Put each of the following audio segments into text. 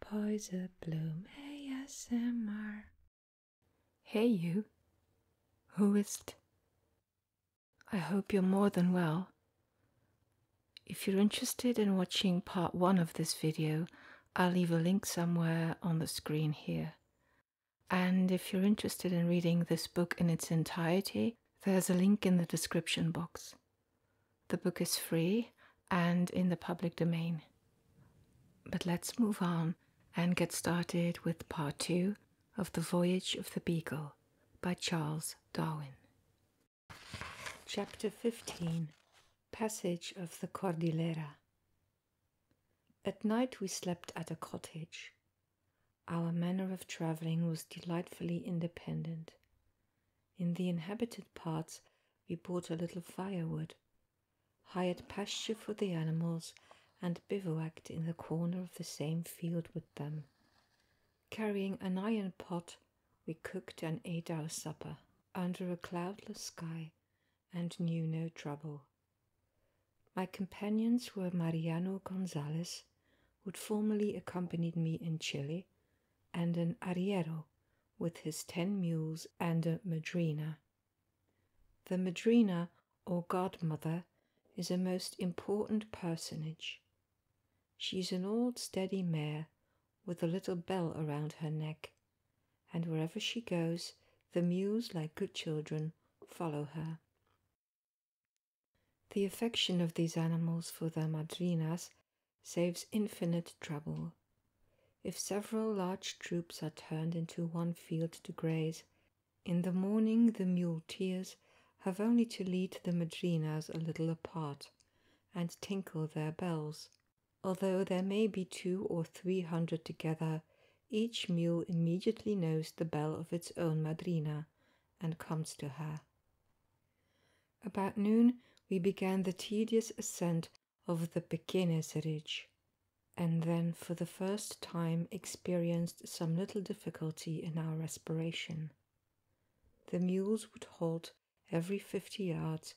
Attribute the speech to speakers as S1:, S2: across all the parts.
S1: Poison Bloom ASMR. Hey, you. Who is't? I hope you're more than well. If you're interested in watching part one of this video, I'll leave a link somewhere on the screen here. And if you're interested in reading this book in its entirety, there's a link in the description box. The book is free and in the public domain. But let's move on and get started with part two of The Voyage of the Beagle by Charles Darwin. Chapter 15 Passage of the Cordillera. At night we slept at a cottage. Our manner of traveling was delightfully independent. In the inhabited parts, we bought a little firewood, hired pasture for the animals, and bivouacked in the corner of the same field with them. Carrying an iron pot, we cooked and ate our supper under a cloudless sky and knew no trouble. My companions were Mariano Gonzalez, who had formerly accompanied me in Chile, and an arriero with his ten mules and a madrina. The madrina, or godmother, is a most important personage. She is an old steady mare with a little bell around her neck, and wherever she goes, the mules, like good children, follow her. The affection of these animals for their madrinas saves infinite trouble. If several large troops are turned into one field to graze, in the morning the muleteers have only to lead the madrinas a little apart and tinkle their bells. Although there may be two or three hundred together, each mule immediately knows the bell of its own madrina and comes to her. About noon, we began the tedious ascent of the Pequenes Ridge, and then for the first time experienced some little difficulty in our respiration. The mules would halt every fifty yards,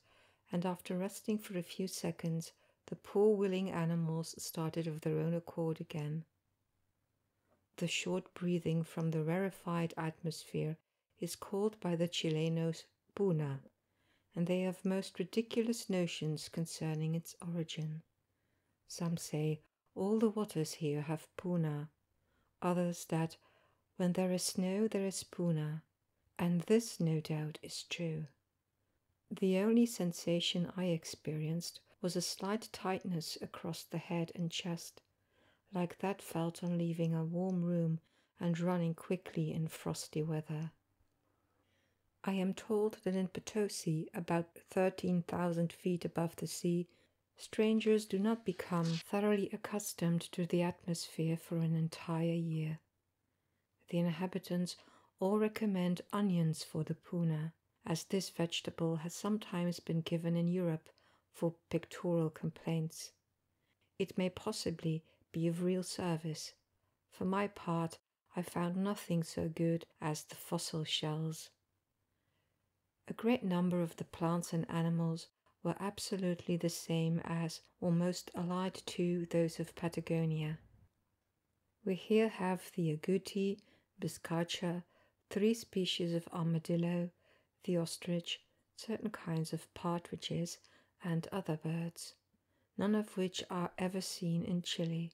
S1: and after resting for a few seconds, the poor willing animals started of their own accord again. The short breathing from the rarefied atmosphere is called by the Chilenos puna, and they have most ridiculous notions concerning its origin. Some say all the waters here have puna, others that when there is snow there is puna, and this no doubt is true. The only sensation I experienced was a slight tightness across the head and chest like that felt on leaving a warm room and running quickly in frosty weather. I am told that in Potosi, about 13,000 feet above the sea, strangers do not become thoroughly accustomed to the atmosphere for an entire year. The inhabitants all recommend onions for the puna, as this vegetable has sometimes been given in Europe for pictorial complaints. It may possibly be of real service. For my part, I found nothing so good as the fossil shells. A great number of the plants and animals were absolutely the same as, or most allied to, those of Patagonia. We here have the agouti, biscacha, three species of armadillo, the ostrich, certain kinds of partridges, and other birds, none of which are ever seen in Chile,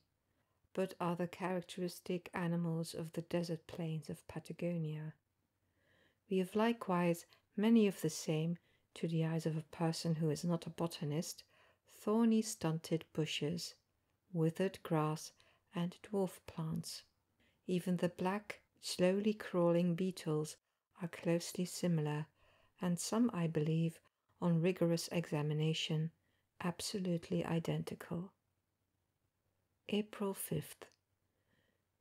S1: but are the characteristic animals of the desert plains of Patagonia. We have likewise many of the same, to the eyes of a person who is not a botanist, thorny, stunted bushes, withered grass, and dwarf plants. Even the black, slowly crawling beetles are closely similar, and some, I believe, on rigorous examination, absolutely identical. April 5th.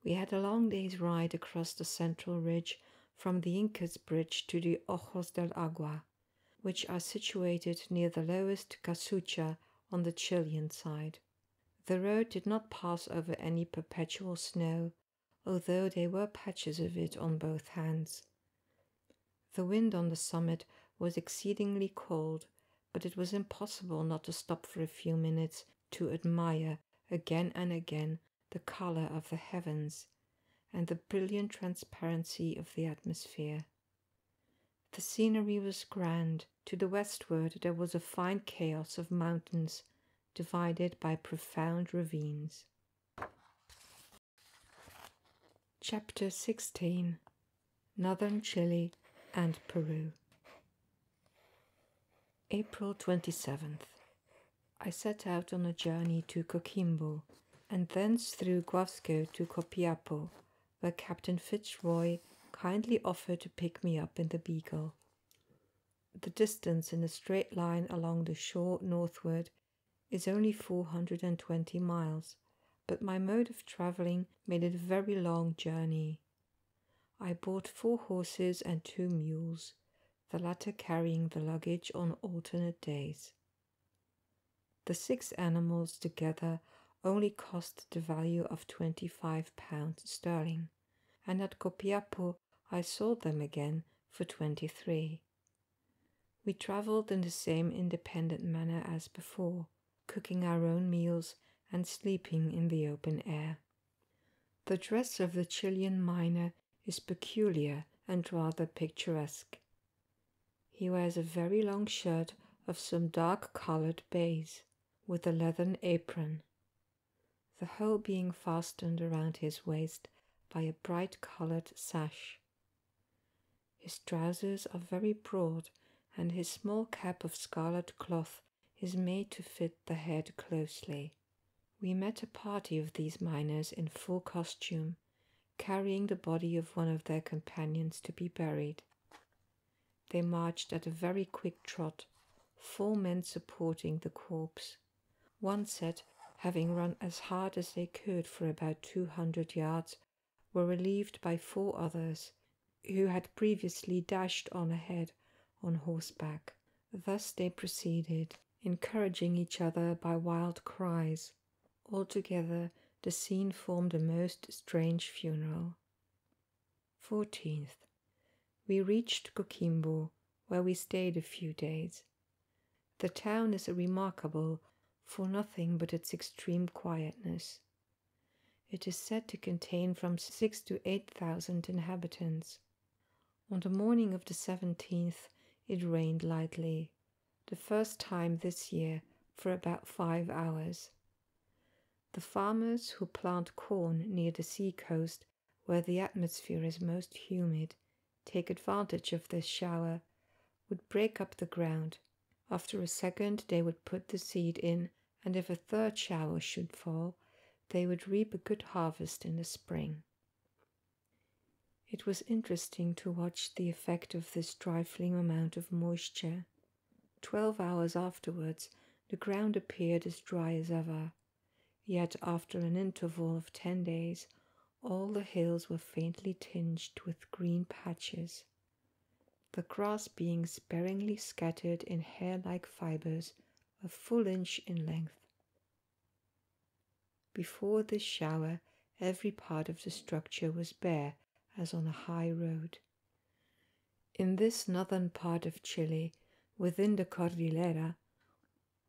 S1: We had a long day's ride across the central ridge from the Incas Bridge to the Ojos del Agua, which are situated near the lowest Casucha on the Chilean side. The road did not pass over any perpetual snow, although there were patches of it on both hands. The wind on the summit was exceedingly cold, but it was impossible not to stop for a few minutes to admire again and again the color of the heavens and the brilliant transparency of the atmosphere. The scenery was grand. To the westward there was a fine chaos of mountains divided by profound ravines. Chapter 16 Northern Chile and Peru. April 27th. I set out on a journey to Coquimbo and thence through Guasco to Copiapo, where Captain Fitzroy kindly offered to pick me up in the Beagle. The distance in a straight line along the shore northward is only 420 miles, but my mode of traveling made it a very long journey. I bought four horses and two mules, the latter carrying the luggage on alternate days. The six animals together only cost the value of 25 pounds sterling and at Copiapo I sold them again for 23. We travelled in the same independent manner as before, cooking our own meals and sleeping in the open air. The dress of the Chilean miner is peculiar and rather picturesque. He wears a very long shirt of some dark colored baize, with a leathern apron the whole being fastened around his waist by a bright colored sash. His trousers are very broad, and his small cap of scarlet cloth is made to fit the head closely. We met a party of these miners in full costume, carrying the body of one of their companions to be buried. They marched at a very quick trot, four men supporting the corpse. One set, having run as hard as they could for about 200 yards, were relieved by four others who had previously dashed on ahead on horseback. Thus they proceeded, encouraging each other by wild cries. Altogether, the scene formed a most strange funeral. 14th. We reached Coquimbo, where we stayed a few days. The town is remarkable for nothing but its extreme quietness. It is said to contain from six to eight thousand inhabitants. On the morning of the 17th, it rained lightly, the first time this year for about five hours, the farmers who plant corn near the seacoast, where the atmosphere is most humid, take advantage of this shower, would break up the ground. After a second, they would put the seed in, and if a third shower should fall, they would reap a good harvest in the spring. It was interesting to watch the effect of this trifling amount of moisture. Twelve hours afterwards, the ground appeared as dry as ever. Yet, after an interval of ten days, all the hills were faintly tinged with green patches. The grass being sparingly scattered in hair like fibers, a full inch in length. Before this shower, every part of the structure was bare, as on a high road. In this northern part of Chile, within the Cordillera,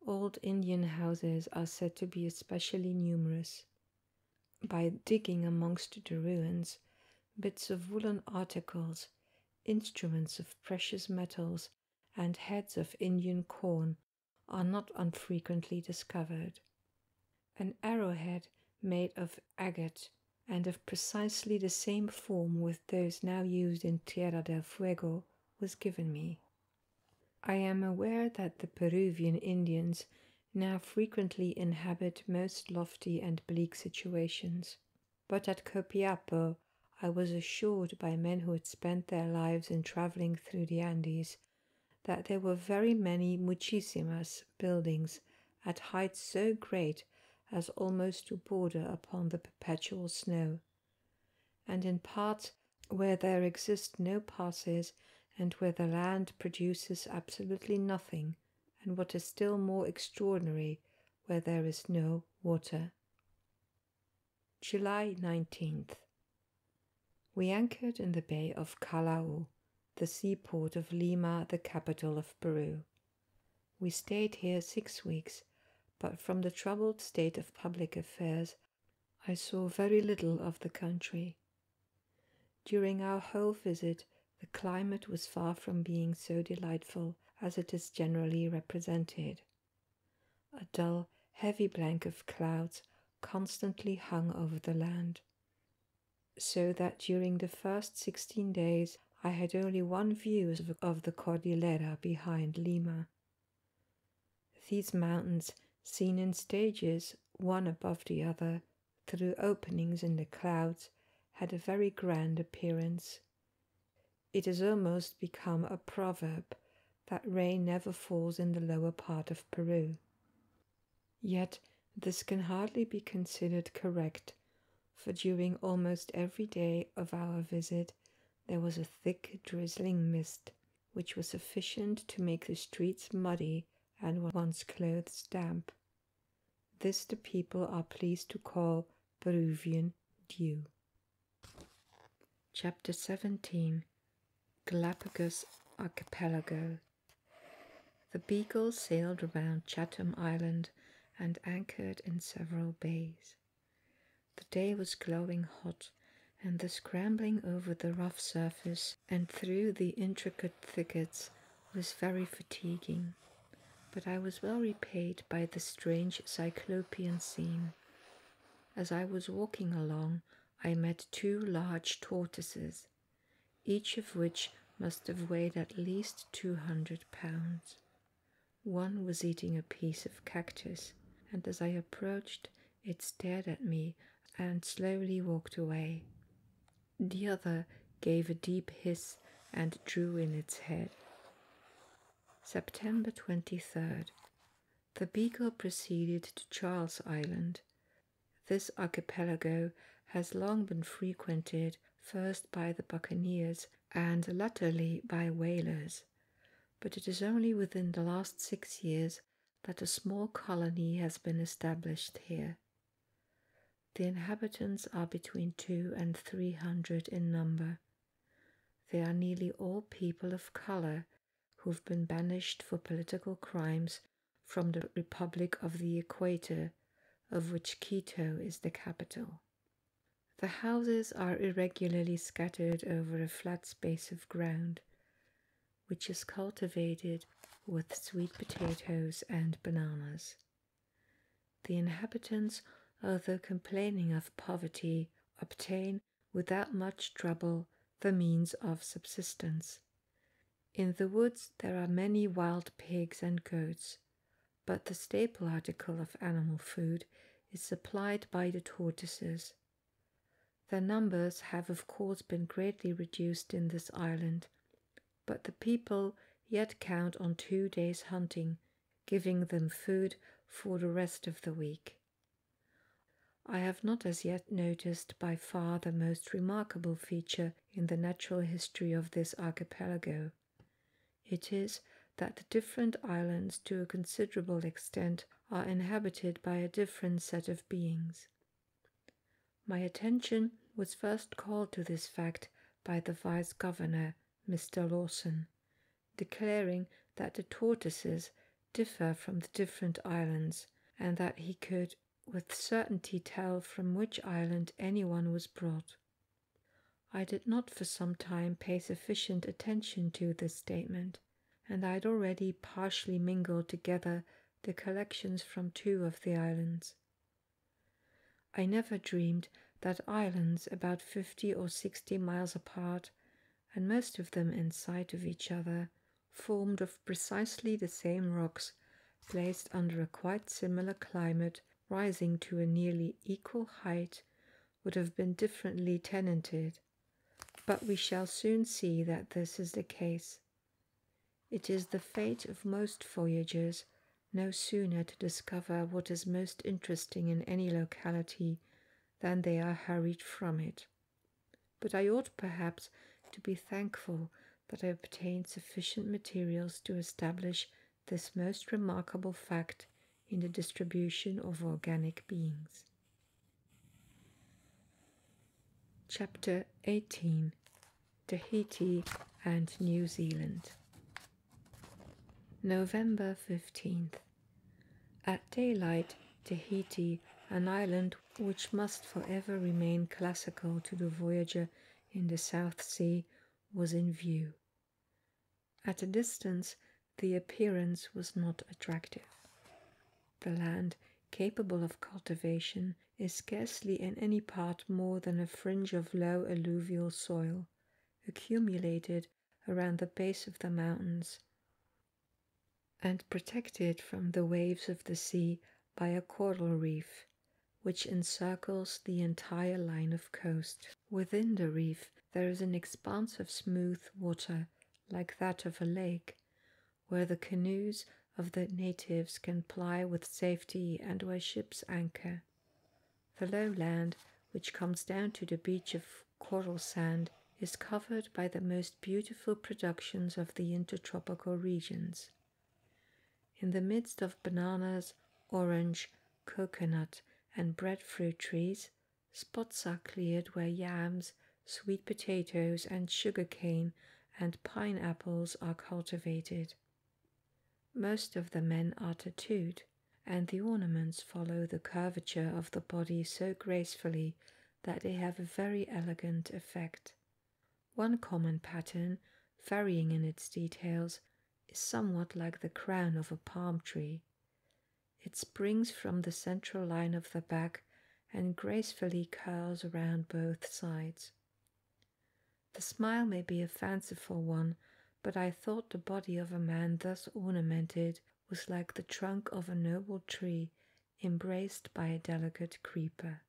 S1: old Indian houses are said to be especially numerous. By digging amongst the ruins, bits of woolen articles, instruments of precious metals, and heads of Indian corn are not unfrequently discovered. An arrowhead made of agate and of precisely the same form with those now used in Tierra del Fuego, was given me. I am aware that the Peruvian Indians now frequently inhabit most lofty and bleak situations, but at Copiapo I was assured by men who had spent their lives in travelling through the Andes that there were very many muchísimas buildings at heights so great as almost to border upon the perpetual snow, and in parts where there exist no passes and where the land produces absolutely nothing, and what is still more extraordinary, where there is no water. July 19th. We anchored in the bay of Callao, the seaport of Lima, the capital of Peru. We stayed here six weeks, but from the troubled state of public affairs, I saw very little of the country. During our whole visit, the climate was far from being so delightful as it is generally represented. A dull, heavy blank of clouds constantly hung over the land so that during the first 16 days I had only one view of the Cordillera behind Lima. These mountains, seen in stages, one above the other, through openings in the clouds, had a very grand appearance. It has almost become a proverb that rain never falls in the lower part of Peru. Yet this can hardly be considered correct, for during almost every day of our visit there was a thick drizzling mist, which was sufficient to make the streets muddy and one's clothes damp. This the people are pleased to call Peruvian dew. Chapter 17 Galapagos Archipelago the Beagle sailed round Chatham Island and anchored in several bays. The day was glowing hot, and the scrambling over the rough surface and through the intricate thickets was very fatiguing, but I was well repaid by the strange cyclopean scene. As I was walking along, I met two large tortoises each of which must have weighed at least 200 pounds. One was eating a piece of cactus, and as I approached, it stared at me and slowly walked away. The other gave a deep hiss and drew in its head. September 23rd. The Beagle proceeded to Charles Island. This archipelago has long been frequented first by the buccaneers and latterly by whalers, but it is only within the last six years that a small colony has been established here. The inhabitants are between two and three hundred in number. They are nearly all people of colour who've been banished for political crimes from the Republic of the Equator of which Quito is the capital. The houses are irregularly scattered over a flat space of ground, which is cultivated with sweet potatoes and bananas. The inhabitants, although complaining of poverty, obtain without much trouble the means of subsistence. In the woods there are many wild pigs and goats, but the staple article of animal food is supplied by the tortoises. Their numbers have, of course, been greatly reduced in this island, but the people yet count on two days' hunting, giving them food for the rest of the week. I have not as yet noticed by far the most remarkable feature in the natural history of this archipelago. It is that the different islands, to a considerable extent, are inhabited by a different set of beings. My attention was first called to this fact by the vice governor, Mr. Lawson, declaring that the tortoises differ from the different islands and that he could with certainty tell from which island any one was brought. I did not for some time pay sufficient attention to this statement, and I had already partially mingled together the collections from two of the islands. I never dreamed that islands about fifty or sixty miles apart, and most of them in sight of each other, formed of precisely the same rocks placed under a quite similar climate, rising to a nearly equal height, would have been differently tenanted. But we shall soon see that this is the case. It is the fate of most voyagers no sooner to discover what is most interesting in any locality than they are hurried from it. But I ought perhaps to be thankful that I obtained sufficient materials to establish this most remarkable fact in the distribution of organic beings. Chapter 18 Tahiti and New Zealand. November 15th. At daylight, Tahiti, an island which must for ever remain classical to the voyager in the South Sea was in view. At a distance, the appearance was not attractive. The land capable of cultivation is scarcely in any part more than a fringe of low alluvial soil, accumulated around the base of the mountains, and protected from the waves of the sea by a coral reef, which encircles the entire line of coast. Within the reef, there is an expanse of smooth water, like that of a lake, where the canoes of the natives can ply with safety and where ships anchor. The lowland, which comes down to the beach of coral sand, is covered by the most beautiful productions of the intertropical regions. In the midst of bananas, orange, coconut, and breadfruit trees, spots are cleared where yams, sweet potatoes, and sugar cane, and pineapples are cultivated. Most of the men are tattooed, and the ornaments follow the curvature of the body so gracefully that they have a very elegant effect. One common pattern, varying in its details, is somewhat like the crown of a palm tree. It springs from the central line of the back and gracefully curls around both sides. The smile may be a fanciful one, but I thought the body of a man thus ornamented was like the trunk of a noble tree embraced by a delicate creeper.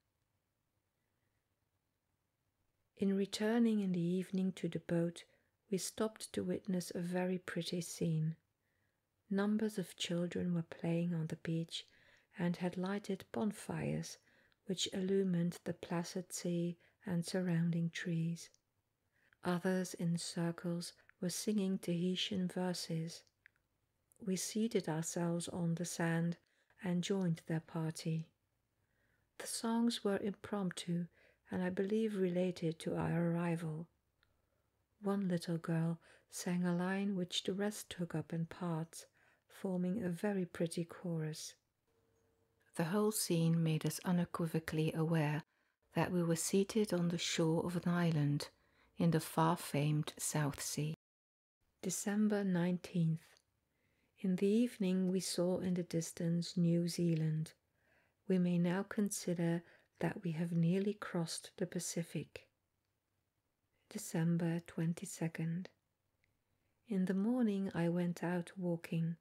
S1: In returning in the evening to the boat, we stopped to witness a very pretty scene. Numbers of children were playing on the beach and had lighted bonfires which illumined the placid sea and surrounding trees. Others in circles were singing Tahitian verses. We seated ourselves on the sand and joined their party. The songs were impromptu and I believe related to our arrival. One little girl sang a line which the rest took up in parts, forming a very pretty chorus. The whole scene made us unequivocally aware that we were seated on the shore of an island in the far famed South Sea. December 19th. In the evening, we saw in the distance New Zealand. We may now consider that we have nearly crossed the Pacific. December 22nd. In the morning, I went out walking,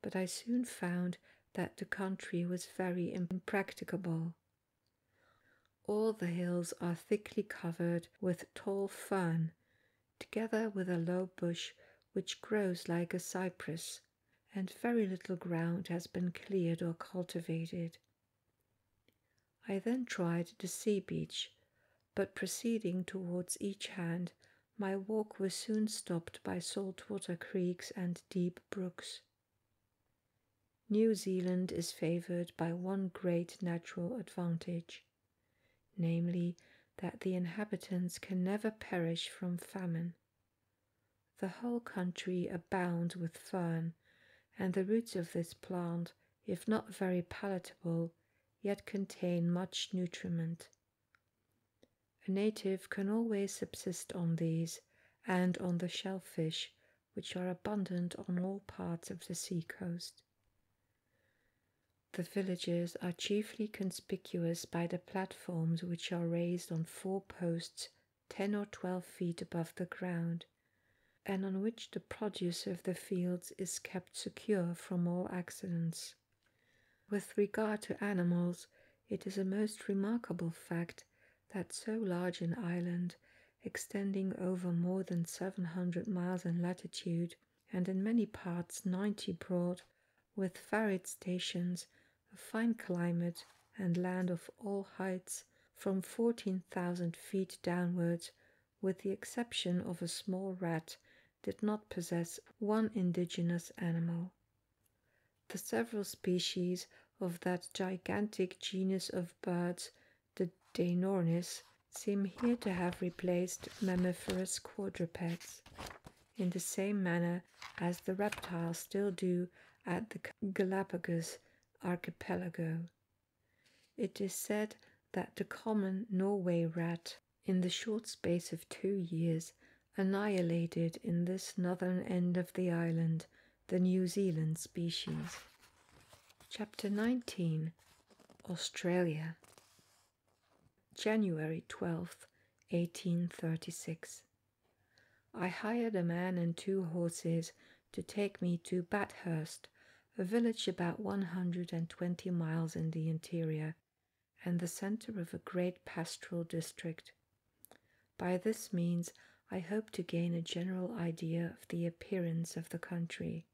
S1: but I soon found that the country was very impracticable. All the hills are thickly covered with tall fern, together with a low bush which grows like a cypress, and very little ground has been cleared or cultivated. I then tried the sea beach, but proceeding towards each hand, my walk was soon stopped by saltwater creeks and deep brooks. New Zealand is favoured by one great natural advantage namely, that the inhabitants can never perish from famine. The whole country abounds with fern, and the roots of this plant, if not very palatable, yet contain much nutriment. A native can always subsist on these and on the shellfish, which are abundant on all parts of the sea coast. The villages are chiefly conspicuous by the platforms which are raised on four posts 10 or 12 feet above the ground, and on which the produce of the fields is kept secure from all accidents. With regard to animals, it is a most remarkable fact that so large an island extending over more than 700 miles in latitude and in many parts 90 broad, with varied stations, a fine climate, and land of all heights from 14,000 feet downwards, with the exception of a small rat, did not possess one indigenous animal. The several species of that gigantic genus of birds the Deinornis seem here to have replaced mammiferous quadrupeds in the same manner as the reptiles still do at the Galapagos archipelago. It is said that the common Norway rat, in the short space of two years, annihilated in this northern end of the island the New Zealand species. Chapter 19 Australia, January 12, 1836. I hired a man and two horses to take me to Bathurst, a village about 120 miles in the interior and the center of a great pastoral district. By this means, I hope to gain a general idea of the appearance of the country.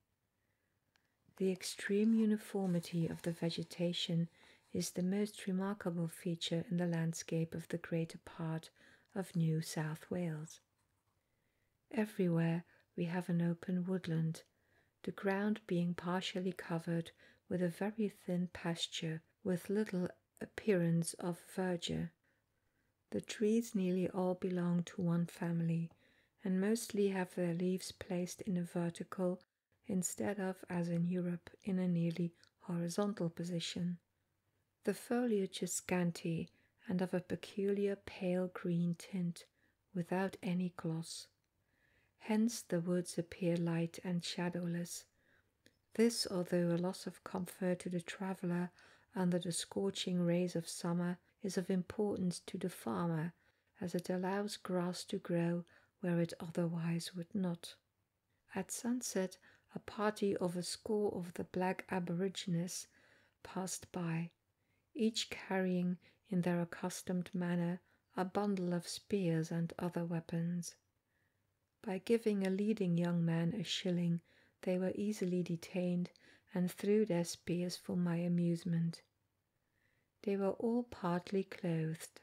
S1: The extreme uniformity of the vegetation is the most remarkable feature in the landscape of the greater part of New South Wales. Everywhere we have an open woodland, the ground being partially covered with a very thin pasture with little appearance of verdure. The trees nearly all belong to one family and mostly have their leaves placed in a vertical instead of, as in Europe, in a nearly horizontal position. The foliage is scanty and of a peculiar pale green tint without any gloss. Hence the woods appear light and shadowless. This, although a loss of comfort to the traveller under the scorching rays of summer, is of importance to the farmer as it allows grass to grow where it otherwise would not. At sunset, a party of a score of the black aborigines passed by, each carrying in their accustomed manner a bundle of spears and other weapons. By giving a leading young man a shilling, they were easily detained and threw their spears for my amusement. They were all partly clothed,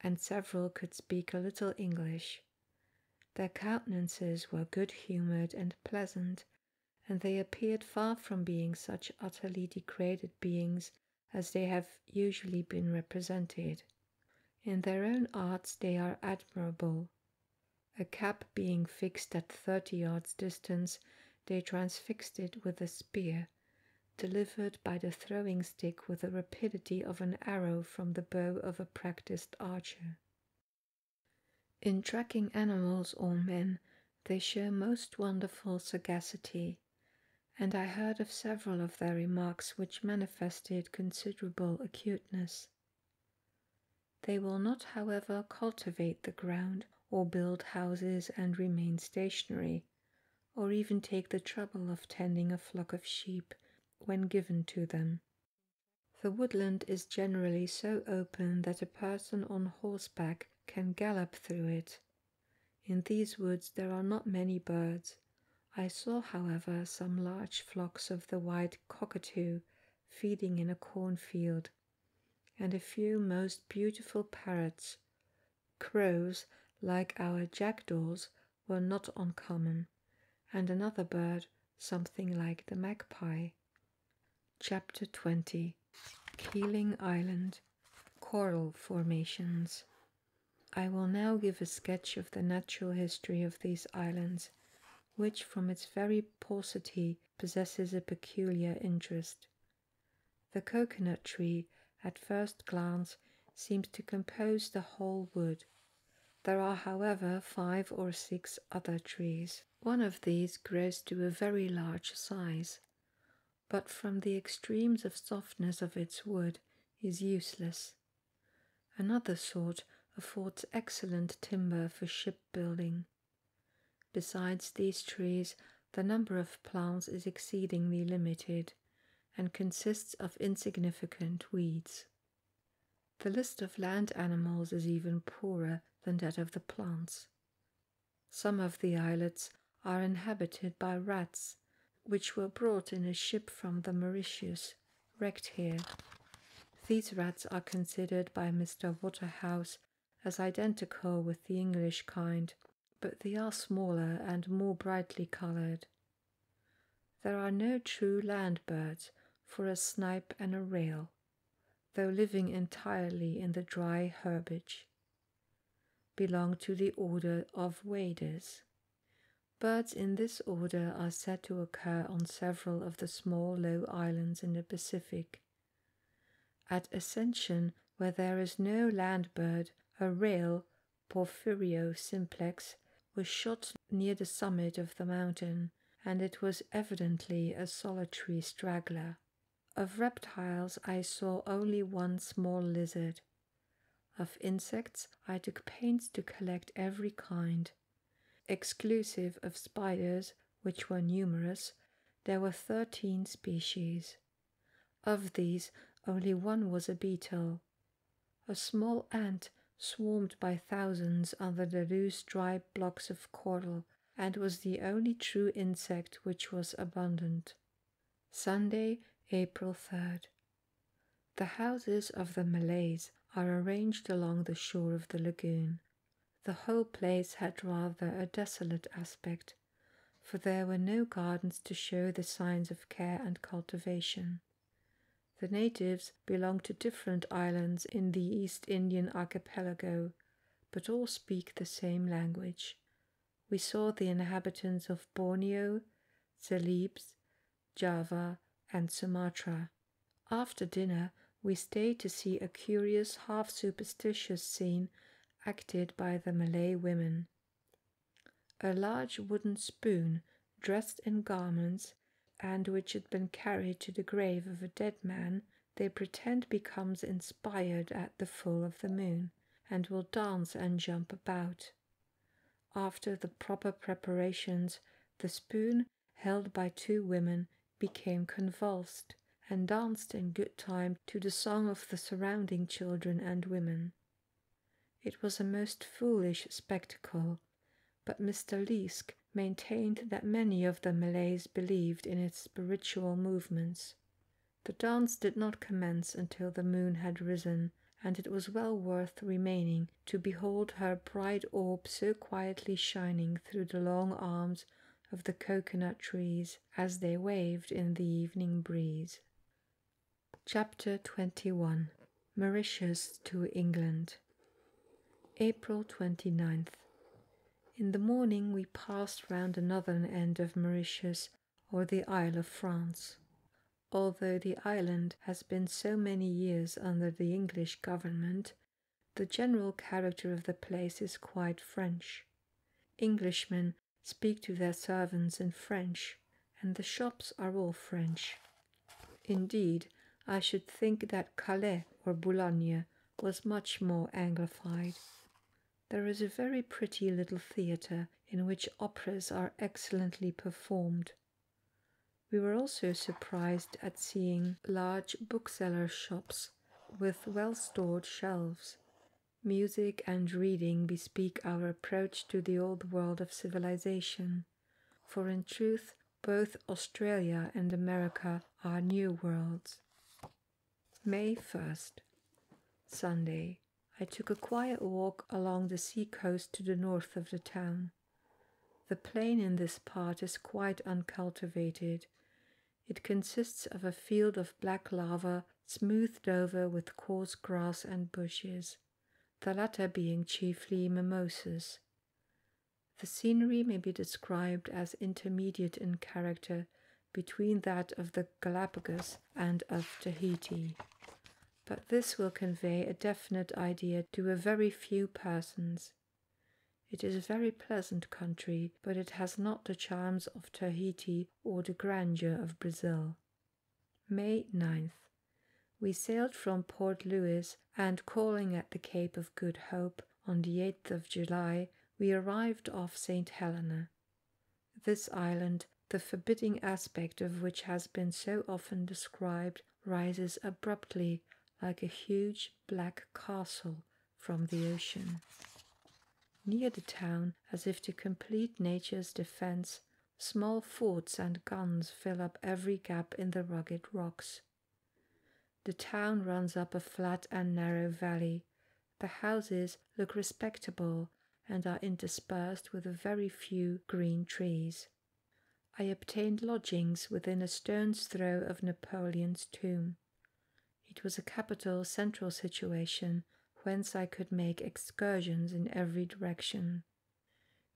S1: and several could speak a little English. Their countenances were good humoured and pleasant, and they appeared far from being such utterly degraded beings as they have usually been represented. In their own arts they are admirable, a cap being fixed at thirty yards distance, they transfixed it with a spear, delivered by the throwing stick with the rapidity of an arrow from the bow of a practised archer. In tracking animals or men, they show most wonderful sagacity, and I heard of several of their remarks which manifested considerable acuteness. They will not, however, cultivate the ground or build houses and remain stationary, or even take the trouble of tending a flock of sheep when given to them. The woodland is generally so open that a person on horseback can gallop through it. In these woods there are not many birds. I saw, however, some large flocks of the white cockatoo feeding in a cornfield and a few most beautiful parrots. Crows, like our jackdaws, were not uncommon, and another bird something like the magpie. Chapter 20 Keeling Island Coral Formations I will now give a sketch of the natural history of these islands which from its very paucity possesses a peculiar interest. The coconut tree, at first glance, seems to compose the whole wood. There are, however, five or six other trees. One of these grows to a very large size, but from the extremes of softness of its wood is useless. Another sort affords excellent timber for shipbuilding. Besides these trees, the number of plants is exceedingly limited and consists of insignificant weeds. The list of land animals is even poorer than that of the plants. Some of the islets are inhabited by rats, which were brought in a ship from the Mauritius, wrecked here, these rats are considered by Mr. Waterhouse as identical with the English kind, but they are smaller and more brightly coloured. There are no true land birds for a snipe and a rail, though living entirely in the dry herbage. Belong to the order of waders. Birds in this order are said to occur on several of the small low islands in the Pacific. At Ascension, where there is no land bird, a rail, Porphyrio simplex, was shot near the summit of the mountain, and it was evidently a solitary straggler. Of reptiles, I saw only one small lizard. Of insects, I took pains to collect every kind, Exclusive of spiders, which were numerous, there were 13 species. Of these, only one was a beetle. A small ant swarmed by thousands under the loose dry blocks of coral and was the only true insect which was abundant. Sunday, April 3rd. The houses of the Malays are arranged along the shore of the lagoon, the whole place had rather a desolate aspect, for there were no gardens to show the signs of care and cultivation. The natives belong to different islands in the East Indian archipelago, but all speak the same language. We saw the inhabitants of Borneo, Celebes, Java, and Sumatra. After dinner, we stayed to see a curious, half superstitious scene acted by the Malay women. A large wooden spoon, dressed in garments, and which had been carried to the grave of a dead man, they pretend becomes inspired at the full of the moon, and will dance and jump about. After the proper preparations, the spoon held by two women became convulsed and danced in good time to the song of the surrounding children and women. It was a most foolish spectacle, but Mr. Leask maintained that many of the Malays believed in its spiritual movements. The dance did not commence until the moon had risen, and it was well worth remaining to behold her bright orb so quietly shining through the long arms of the coconut trees as they waved in the evening breeze. Chapter 21 Mauritius to England April Twenty Ninth, In the morning we passed round another end of Mauritius or the Isle of France. Although the island has been so many years under the English government, the general character of the place is quite French. Englishmen speak to their servants in French, and the shops are all French. Indeed, I should think that Calais or Boulogne was much more Anglified. There is a very pretty little theatre in which operas are excellently performed. We were also surprised at seeing large bookseller shops with well stored shelves. Music and reading bespeak our approach to the old world of civilization, for in truth, both Australia and America are new worlds. May 1st, Sunday. I took a quiet walk along the sea coast to the north of the town. The plain in this part is quite uncultivated. It consists of a field of black lava smoothed over with coarse grass and bushes, the latter being chiefly mimosas. The scenery may be described as intermediate in character between that of the Galapagos and of Tahiti, but this will convey a definite idea to a very few persons. It is a very pleasant country, but it has not the charms of Tahiti or the grandeur of Brazil. May 9th. We sailed from Port Louis and calling at the Cape of Good Hope on the 8th of July, we arrived off St. Helena. This island, the forbidding aspect of which has been so often described, rises abruptly like a huge black castle from the ocean. Near the town, as if to complete nature's defense, small forts and guns fill up every gap in the rugged rocks. The town runs up a flat and narrow valley. The houses look respectable and are interspersed with a very few green trees. I obtained lodgings within a stone's throw of Napoleon's tomb. It was a capital central situation whence I could make excursions in every direction.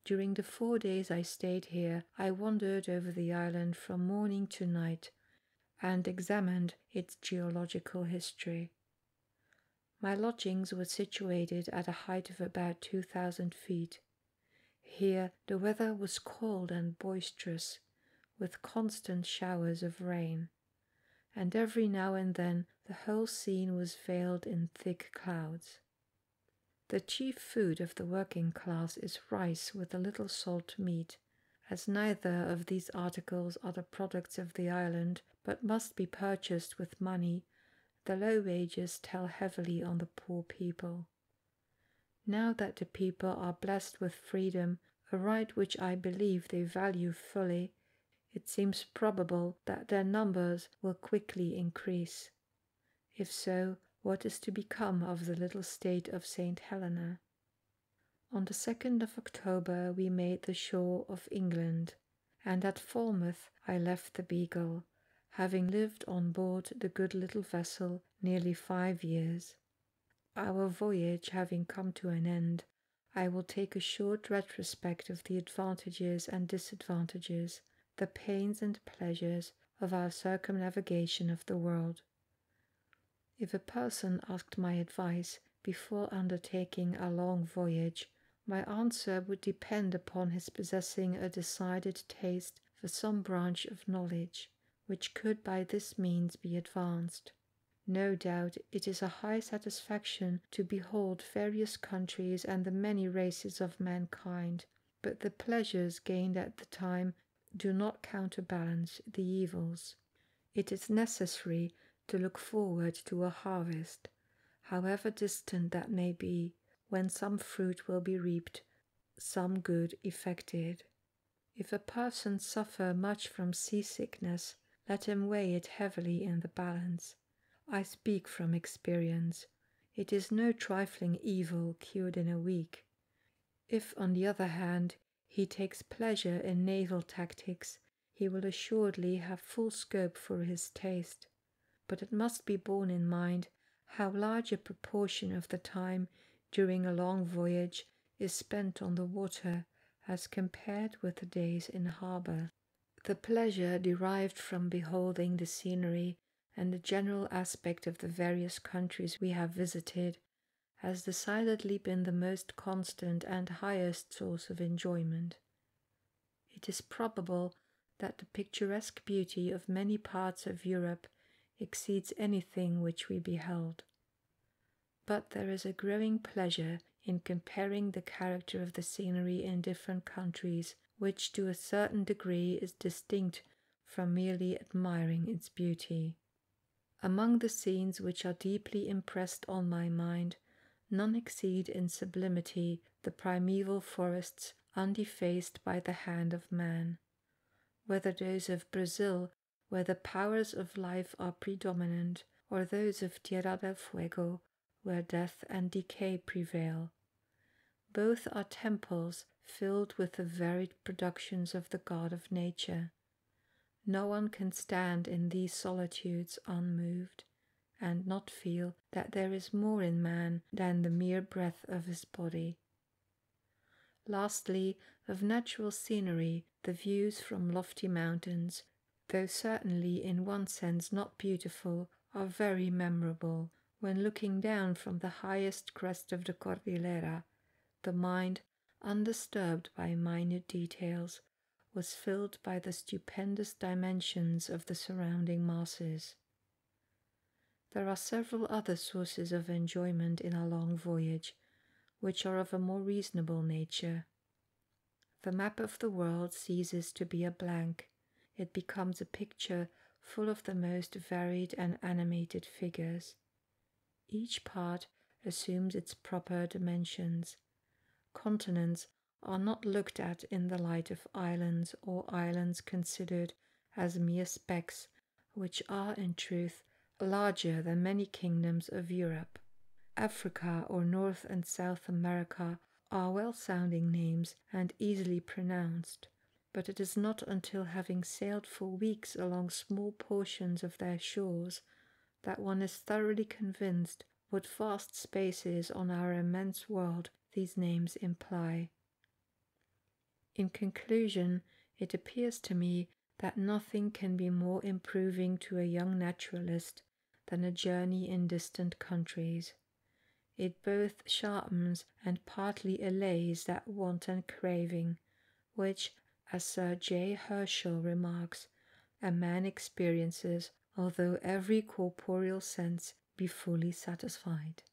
S1: During the four days I stayed here, I wandered over the island from morning to night and examined its geological history. My lodgings were situated at a height of about 2,000 feet, here the weather was cold and boisterous, with constant showers of rain, and every now and then the whole scene was veiled in thick clouds. The chief food of the working class is rice with a little salt meat, as neither of these articles are the products of the island, but must be purchased with money, the low wages tell heavily on the poor people. Now that the people are blessed with freedom, a right which I believe they value fully, it seems probable that their numbers will quickly increase. If so, what is to become of the little state of St. Helena? On the 2nd of October we made the shore of England, and at Falmouth I left the Beagle having lived on board the good little vessel nearly five years. Our voyage having come to an end, I will take a short retrospect of the advantages and disadvantages, the pains and pleasures of our circumnavigation of the world. If a person asked my advice before undertaking a long voyage, my answer would depend upon his possessing a decided taste for some branch of knowledge which could by this means be advanced. No doubt it is a high satisfaction to behold various countries and the many races of mankind, but the pleasures gained at the time do not counterbalance the evils. It is necessary to look forward to a harvest, however distant that may be, when some fruit will be reaped some good effected. If a person suffer much from seasickness, let him weigh it heavily in the balance. I speak from experience. It is no trifling evil cured in a week. If, on the other hand, he takes pleasure in naval tactics, he will assuredly have full scope for his taste, but it must be borne in mind how large a proportion of the time during a long voyage is spent on the water as compared with the days in harbour. The pleasure derived from beholding the scenery and the general aspect of the various countries we have visited has decidedly been the most constant and highest source of enjoyment. It is probable that the picturesque beauty of many parts of Europe exceeds anything which we beheld. But there is a growing pleasure in comparing the character of the scenery in different countries, which to a certain degree is distinct from merely admiring its beauty. Among the scenes which are deeply impressed on my mind, none exceed in sublimity the primeval forests undefaced by the hand of man, whether those of Brazil, where the powers of life are predominant, or those of Tierra del Fuego, where death and decay prevail. Both are temples filled with the varied productions of the God of nature. No one can stand in these solitudes unmoved and not feel that there is more in man than the mere breath of his body. Lastly, of natural scenery, the views from lofty mountains, though certainly in one sense not beautiful, are very memorable. When looking down from the highest crest of the Cordillera, the mind, undisturbed by minute details, was filled by the stupendous dimensions of the surrounding masses. There are several other sources of enjoyment in a long voyage, which are of a more reasonable nature. The map of the world ceases to be a blank, it becomes a picture full of the most varied and animated figures. Each part assumes its proper dimensions. Continents are not looked at in the light of islands or islands considered as mere specks, which are in truth larger than many kingdoms of Europe. Africa or North and South America are well sounding names and easily pronounced, but it is not until having sailed for weeks along small portions of their shores that one is thoroughly convinced what vast spaces on our immense world these names imply. In conclusion, it appears to me that nothing can be more improving to a young naturalist than a journey in distant countries. It both sharpens and partly allays that wanton craving, which, as Sir J. Herschel remarks, a man experiences although every corporeal sense be fully satisfied.